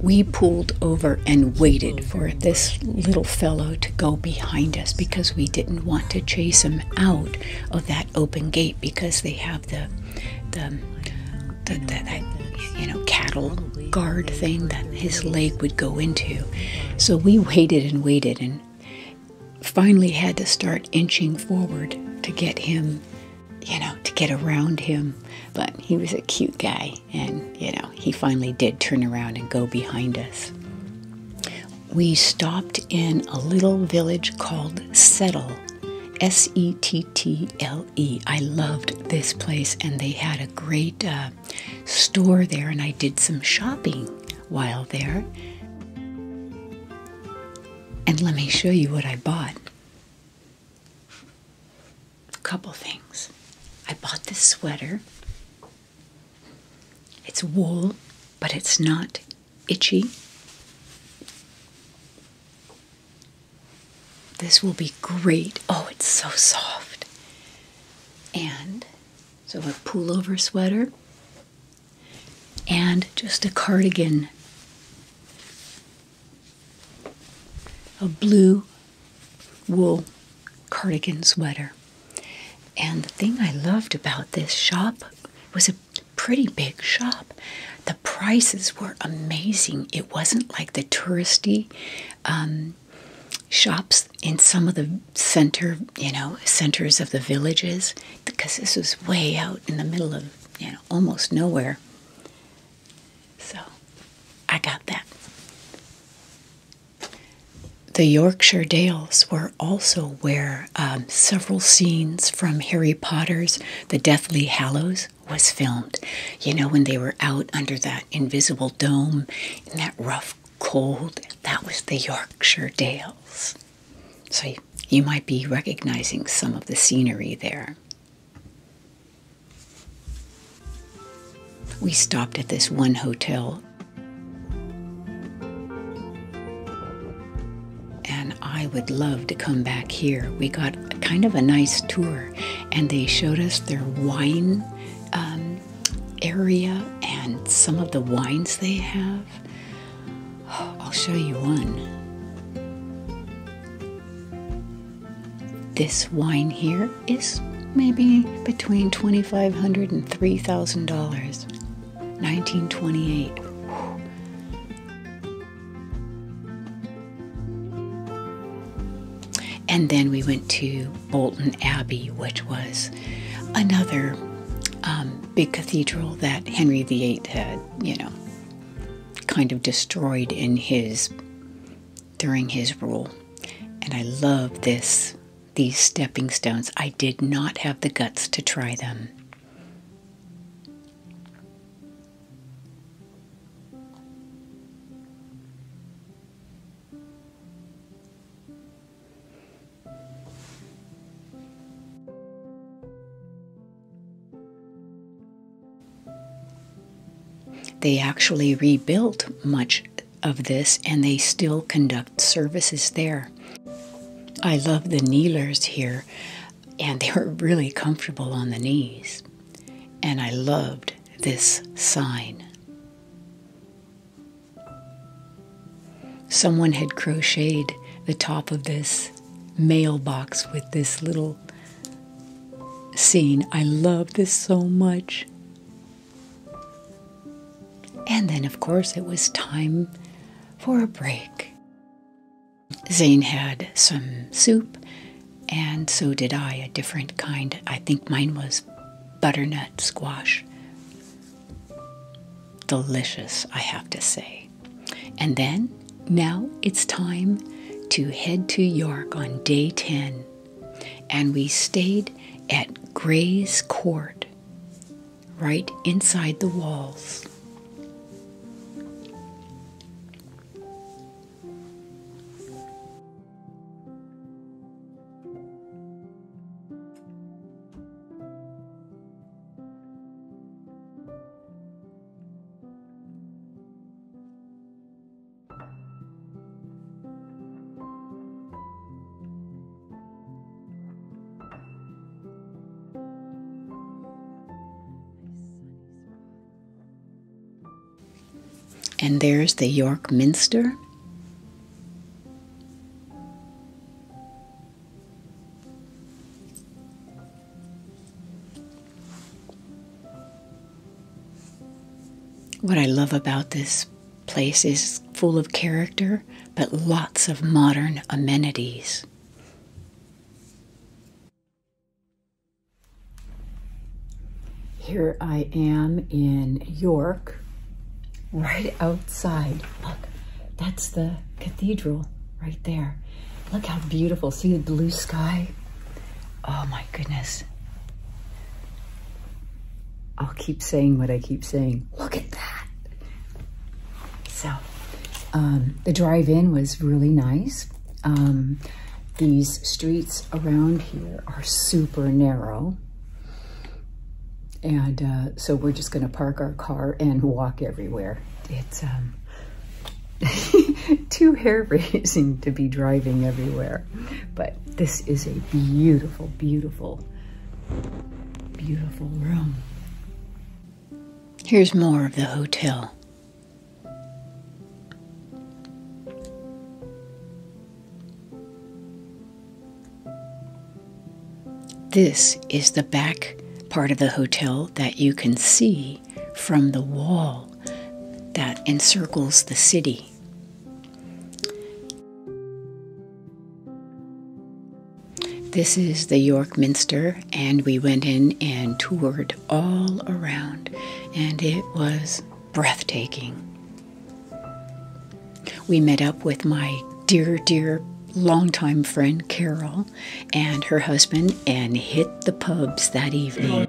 We pulled over and waited for this little fellow to go behind us because we didn't want to chase him out of that open gate because they have the the, the, you know cattle guard thing that his leg would go into. So we waited and waited and finally had to start inching forward to get him you know, to get around him. But he was a cute guy, and, you know, he finally did turn around and go behind us. We stopped in a little village called Settle. S E T T L E. I loved this place, and they had a great uh, store there, and I did some shopping while there. And let me show you what I bought a couple things. I bought this sweater. It's wool, but it's not itchy. This will be great. Oh, it's so soft. And so a pullover sweater and just a cardigan a blue wool cardigan sweater. And the thing I loved about this shop was a pretty big shop. The prices were amazing. It wasn't like the touristy um, shops in some of the center, you know, centers of the villages, because this was way out in the middle of, you know, almost nowhere. So I got that. The Yorkshire Dales were also where um, several scenes from Harry Potter's The Deathly Hallows was filmed. You know, when they were out under that invisible dome in that rough cold, that was the Yorkshire Dales. So you might be recognizing some of the scenery there. We stopped at this one hotel. And I would love to come back here. We got kind of a nice tour, and they showed us their wine um, area and some of the wines they have. I'll show you one. This wine here is maybe between $2,500 and $3,000. 1928. And then we went to Bolton Abbey, which was another um, big cathedral that Henry VIII had, you know, kind of destroyed in his during his rule. And I love this these stepping stones. I did not have the guts to try them. They actually rebuilt much of this and they still conduct services there. I love the kneelers here, and they were really comfortable on the knees. And I loved this sign. Someone had crocheted the top of this mailbox with this little scene. I love this so much. And then, of course, it was time for a break. Zane had some soup, and so did I, a different kind. I think mine was butternut squash. Delicious, I have to say. And then now it's time to head to York on day 10, and we stayed at Gray's Court, right inside the walls. And there's the York Minster. What I love about this place is full of character, but lots of modern amenities. Here I am in York, right outside. Look, that's the cathedral right there. Look how beautiful. See the blue sky? Oh my goodness. I'll keep saying what I keep saying. Look at that. So um, the drive-in was really nice. Um, these streets around here are super narrow. And uh, so we're just going to park our car and walk everywhere. It's um, too hair-raising to be driving everywhere. But this is a beautiful, beautiful, beautiful room. Here's more of the hotel. This is the back part of the hotel that you can see from the wall that encircles the city. This is the York Minster, and we went in and toured all around, and it was breathtaking. We met up with my dear, dear longtime friend Carol and her husband and hit the pubs that evening.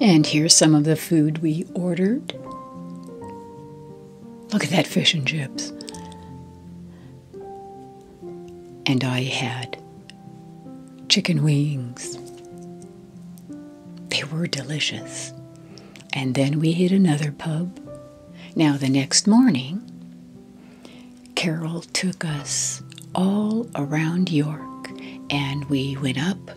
And here's some of the food we ordered. Look at that fish and chips. And I had chicken wings. They were delicious. And then we hit another pub. Now, the next morning, Carol took us all around York and we went up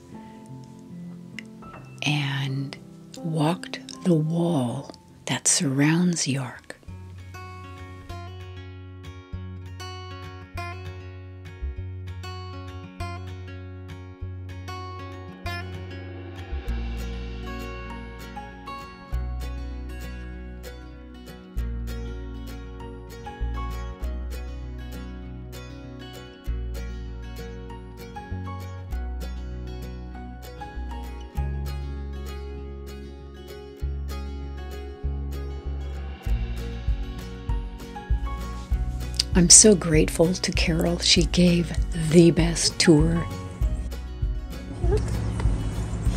and walked the wall that surrounds York. I'm so grateful to Carol. She gave the best tour.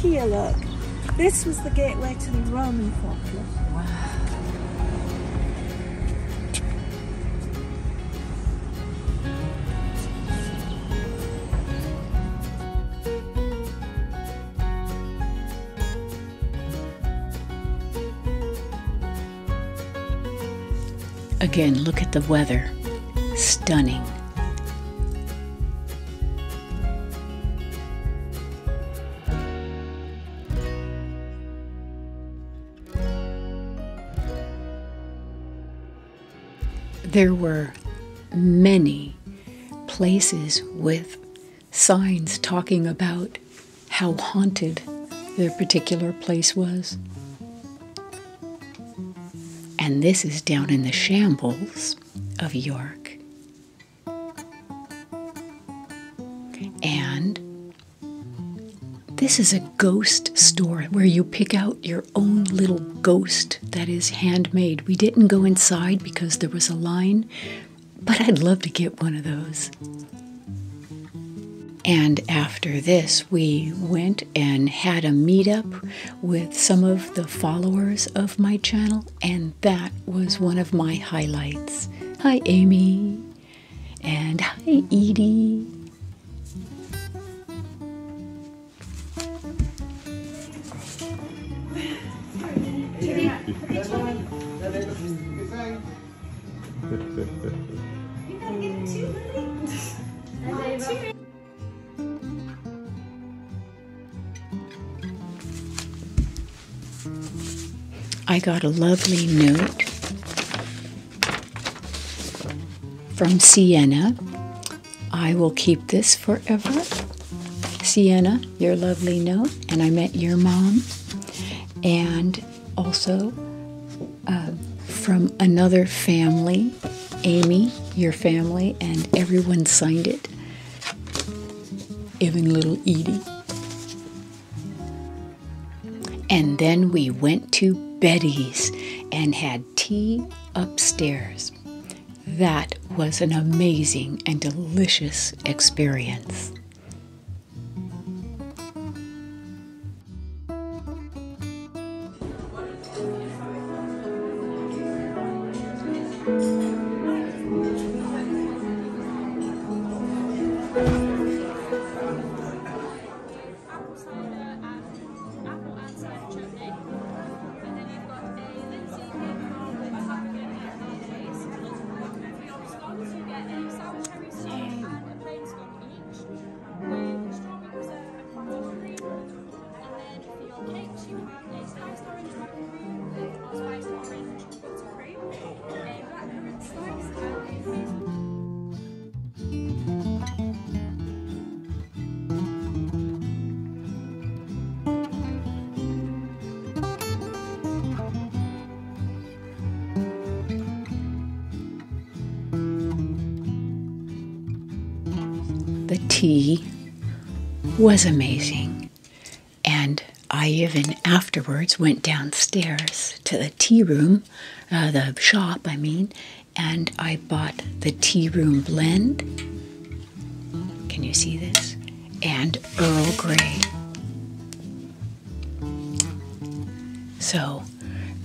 Here, look. This was the gateway to the Roman folklore. Wow. Again, look at the weather. Stunning. There were many places with signs talking about how haunted their particular place was. And this is down in the shambles of York. And this is a ghost store where you pick out your own little ghost that is handmade. We didn't go inside because there was a line, but I'd love to get one of those. And after this, we went and had a meetup with some of the followers of my channel, and that was one of my highlights. Hi, Amy. And hi, Edie. I got a lovely note from Sienna. I will keep this forever. Sienna, your lovely note, and I met your mom. And also uh, from another family, Amy, your family, and everyone signed it, even little Edie. And then we went to Betty's and had tea upstairs. That was an amazing and delicious experience apple cider and apple and cider chutney. And then you've got a linseed cake roll with pumpkin and mayonnaise. For your scones, you get a sour cherry scone and a plain scone each with strawberry preserve and cottage cream. And then for your cakes, you have a spiced orange macaroon or spiced orange buttercream, a blackcurrant slice, and a hazelnut. The tea was amazing, and I even afterwards went downstairs to the tea room uh, the shop, I mean, and I bought the Tea Room Blend. Can you see this? And Earl Grey. So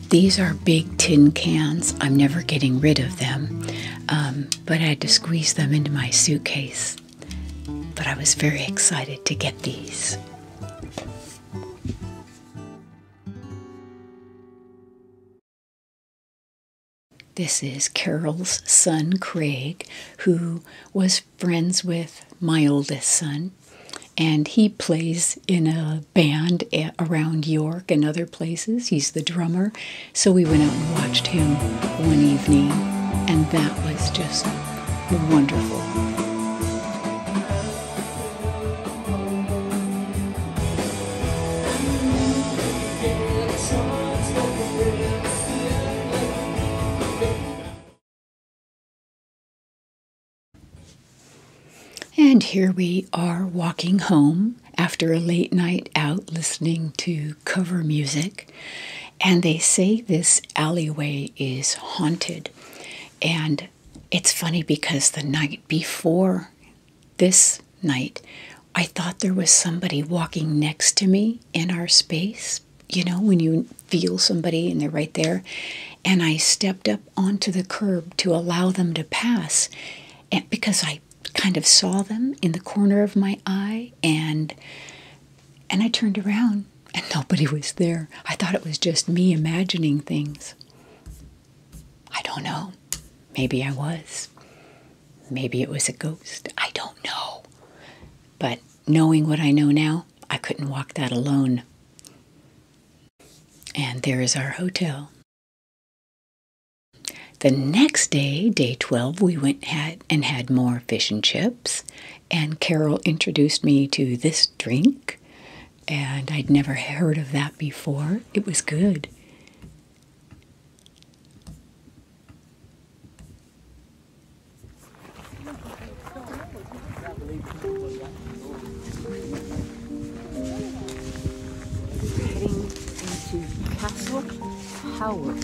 these are big tin cans. I'm never getting rid of them, um, but I had to squeeze them into my suitcase. But I was very excited to get these. This is Carol's son, Craig, who was friends with my oldest son, and he plays in a band around York and other places. He's the drummer, so we went out and watched him one evening, and that was just wonderful. And here we are walking home after a late night out listening to cover music. And they say this alleyway is haunted. And it's funny because the night before this night, I thought there was somebody walking next to me in our space. You know, when you feel somebody and they're right there. And I stepped up onto the curb to allow them to pass and because I kind of saw them in the corner of my eye and and I turned around and nobody was there. I thought it was just me imagining things. I don't know. Maybe I was. Maybe it was a ghost. I don't know. But knowing what I know now, I couldn't walk that alone. And there is our hotel. The next day, day 12, we went and had more fish and chips. And Carol introduced me to this drink and I'd never heard of that before. It was good. Heading into Castle Howard.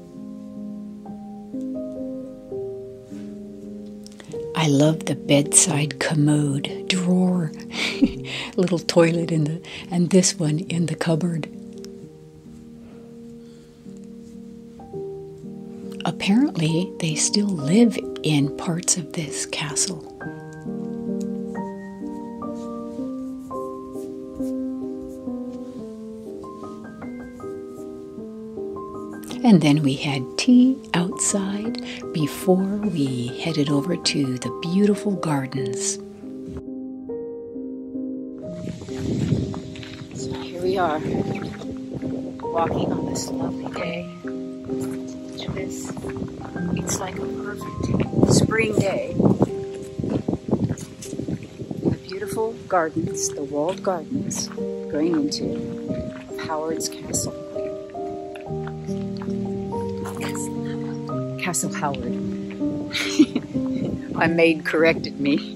I love the bedside commode drawer, little toilet in the, and this one in the cupboard. Apparently, they still live in parts of this castle. And then we had tea outside before we headed over to the beautiful gardens. So here we are, walking on this lovely day. It's like a perfect spring day. The beautiful gardens, the walled gardens, going into Howard's Castle. Castle Howard. My maid corrected me.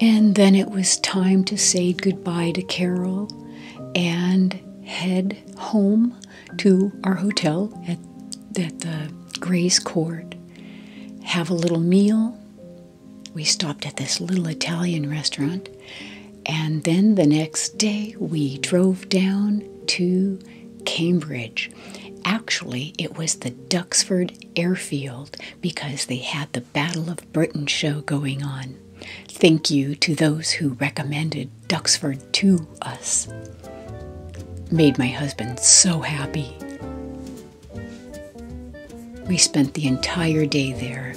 And then it was time to say goodbye to Carol and head home to our hotel at, the Grace Court, have a little meal. We stopped at this little Italian restaurant. And then the next day, we drove down to Cambridge. Actually, it was the Duxford Airfield because they had the Battle of Britain show going on. Thank you to those who recommended Duxford to us. Made my husband so happy. We spent the entire day there.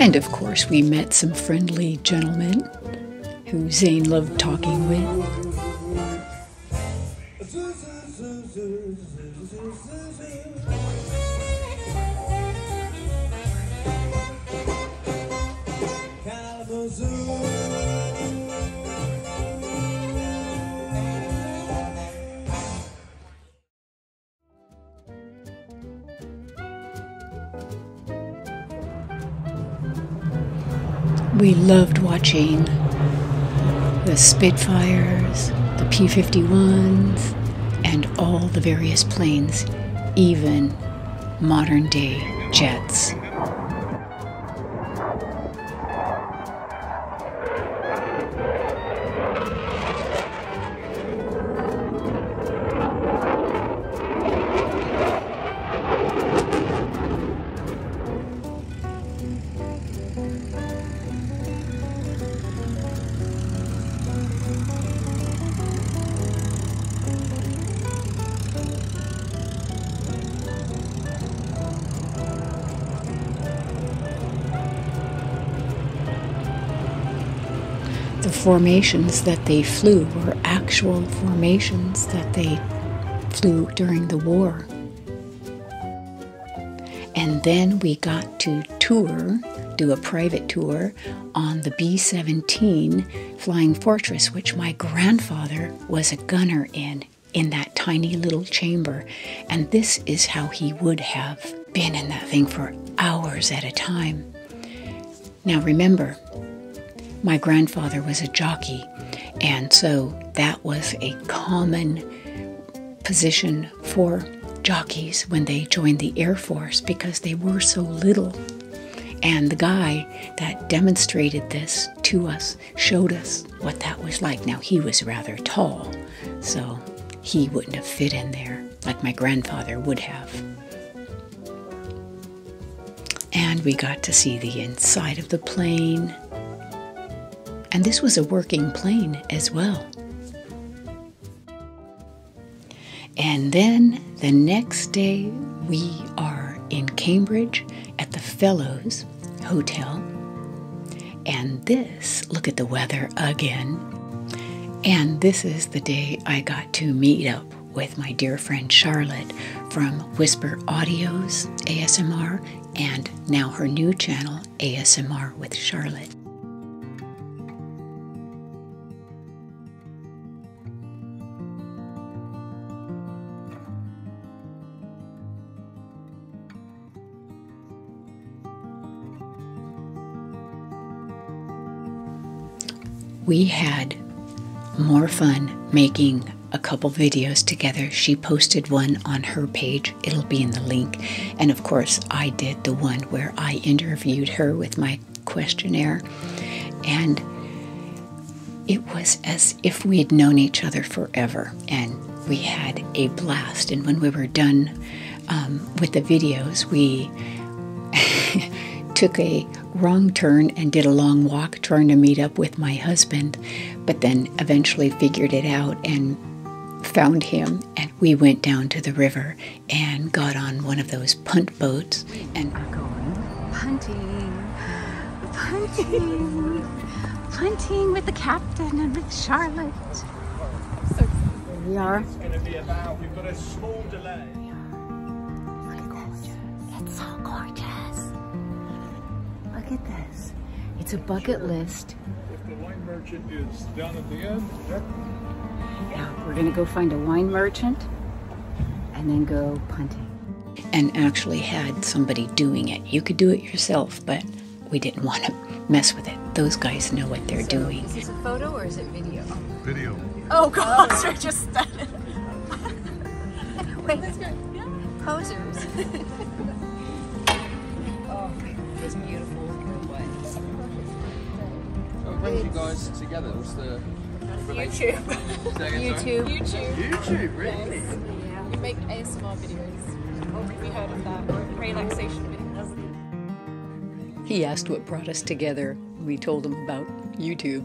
And of course, we met some friendly gentlemen who Zane loved talking with. We loved watching the Spitfires, the P 51s, and all the various planes, even modern day jets the formations that they flew were actual formations that they flew during the war. And then we got to tour, do a private tour on the B 17 Flying Fortress, which my grandfather was a gunner in, in that tiny little chamber. And this is how he would have been in that thing for hours at a time. Now remember, my grandfather was a jockey, and so that was a common position for jockeys when they joined the Air Force because they were so little. And the guy that demonstrated this to us showed us what that was like. Now, he was rather tall, so he wouldn't have fit in there like my grandfather would have. And we got to see the inside of the plane. And this was a working plane as well. And then the next day, we are in Cambridge at the Fellows Hotel. And this, look at the weather again. And this is the day I got to meet up with my dear friend Charlotte from Whisper Audios ASMR and now her new channel, ASMR with Charlotte. We had more fun making a couple videos together. She posted one on her page, it'll be in the link. And of course, I did the one where I interviewed her with my questionnaire. And it was as if we would known each other forever. And we had a blast. And when we were done um, with the videos, we took a wrong turn and did a long walk trying to meet up with my husband, but then eventually figured it out and found him. And we went down to the river and got on one of those punt boats and we're going punting, punting, punting with the captain and with Charlotte. So we are. It's going to be about, we've got a small delay. It's so gorgeous. Look at this. It's a bucket list. yeah, we're gonna go find a wine merchant and then go punting. And actually had somebody doing it. You could do it yourself, but we didn't want to mess with it. Those guys know what they're doing. Is this photo or is it video? Video. Oh, God, just that. Posers. oh, it's beautiful. So it brings you guys together. What's the YouTube. YouTube. YouTube, really? Yeah. We make ASMR videos. We have heard of that? Or relaxation videos. He asked what brought us together. We told him about YouTube.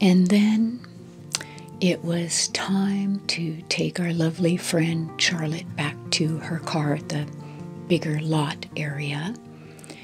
And then it was time to take our lovely friend Charlotte back to her car at the bigger lot area.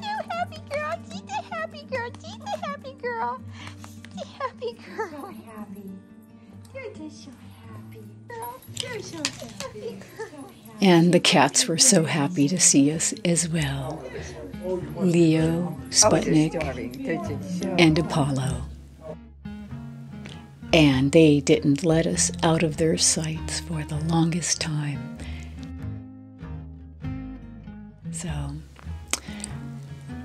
No, happy girl. She's the happy girl. She's the happy girl. She's the happy girl. So happy. You're just so happy. Girl. You're so happy. And the cats were so happy to see us as well. Leo, Sputnik, oh, and Apollo. And they didn't let us out of their sights for the longest time. So,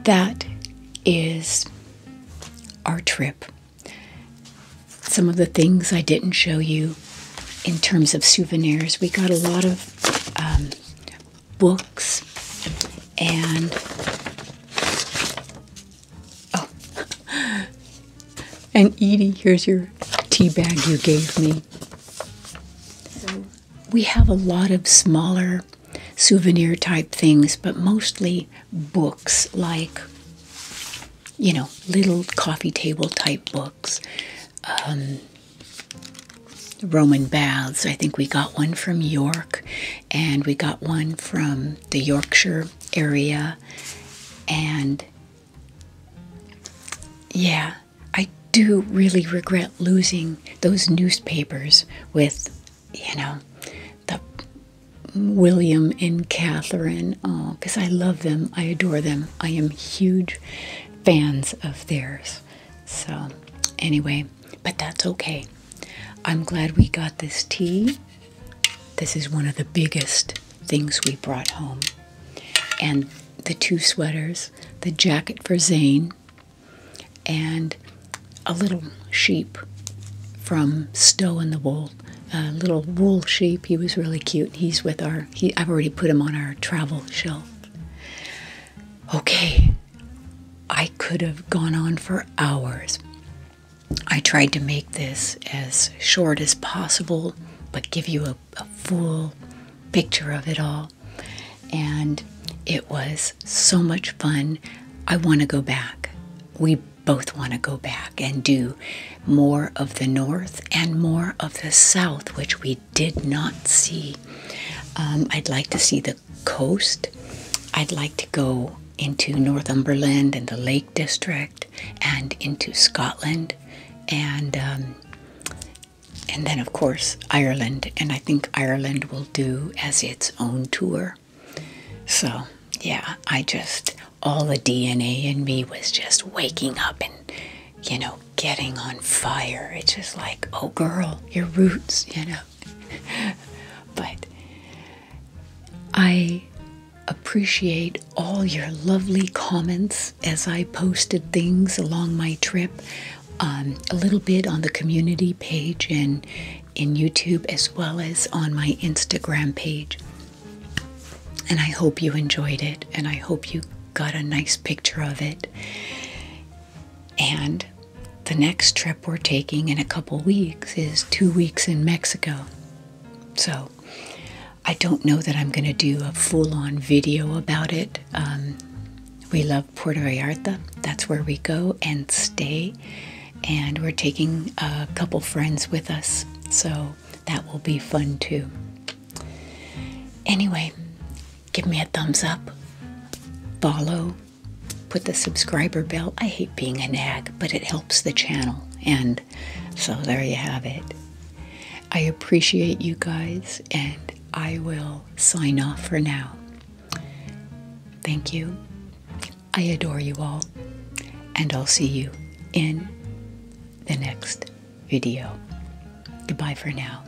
that is our trip. Some of the things I didn't show you in terms of souvenirs, we got a lot of um, books and oh, and Edie, here's your tea bag you gave me we have a lot of smaller souvenir type things, but mostly books like, you know, little coffee table type books. Um, Roman baths. I think we got one from York and we got one from the Yorkshire area. And yeah, I do really regret losing those newspapers with, you know, the William and Catherine. Oh, uh, because I love them. I adore them. I am huge fans of theirs. So, anyway, but that's okay. I'm glad we got this tea. This is one of the biggest things we brought home and the two sweaters, the jacket for Zane, and a little sheep from Stow in the Wool, a little wool sheep. He was really cute. He's with our, I've already put him on our travel shelf. Okay, I could have gone on for hours. I tried to make this as short as possible, but give you a a full picture of it all. And it was so much fun. I want to go back. We both want to go back and do more of the north and more of the south, which we did not see. Um, I'd like to see the coast. I'd like to go into Northumberland and the Lake District and into Scotland and um, and then, of course, Ireland. And I think Ireland will do as its own tour. So, yeah, I just, all the DNA in me was just waking up and, you know, getting on fire. It's just like, oh, girl, your roots, you know. but I appreciate all your lovely comments as I posted things along my trip, um, a little bit on the community page and in YouTube as well as on my Instagram page. And I hope you enjoyed it, and I hope you got a nice picture of it. And the next trip we're taking in a couple weeks is two weeks in Mexico. So I don't know that I'm going to do a full on video about it. Um, we love Puerto Vallarta, that's where we go and stay. And we're taking a couple friends with us, so that will be fun too. Anyway, give me a thumbs up, follow, put the subscriber bell. I hate being a nag, but it helps the channel. And so there you have it. I appreciate you guys, and I will sign off for now. Thank you. I adore you all, and I'll see you in the next video. Goodbye for now.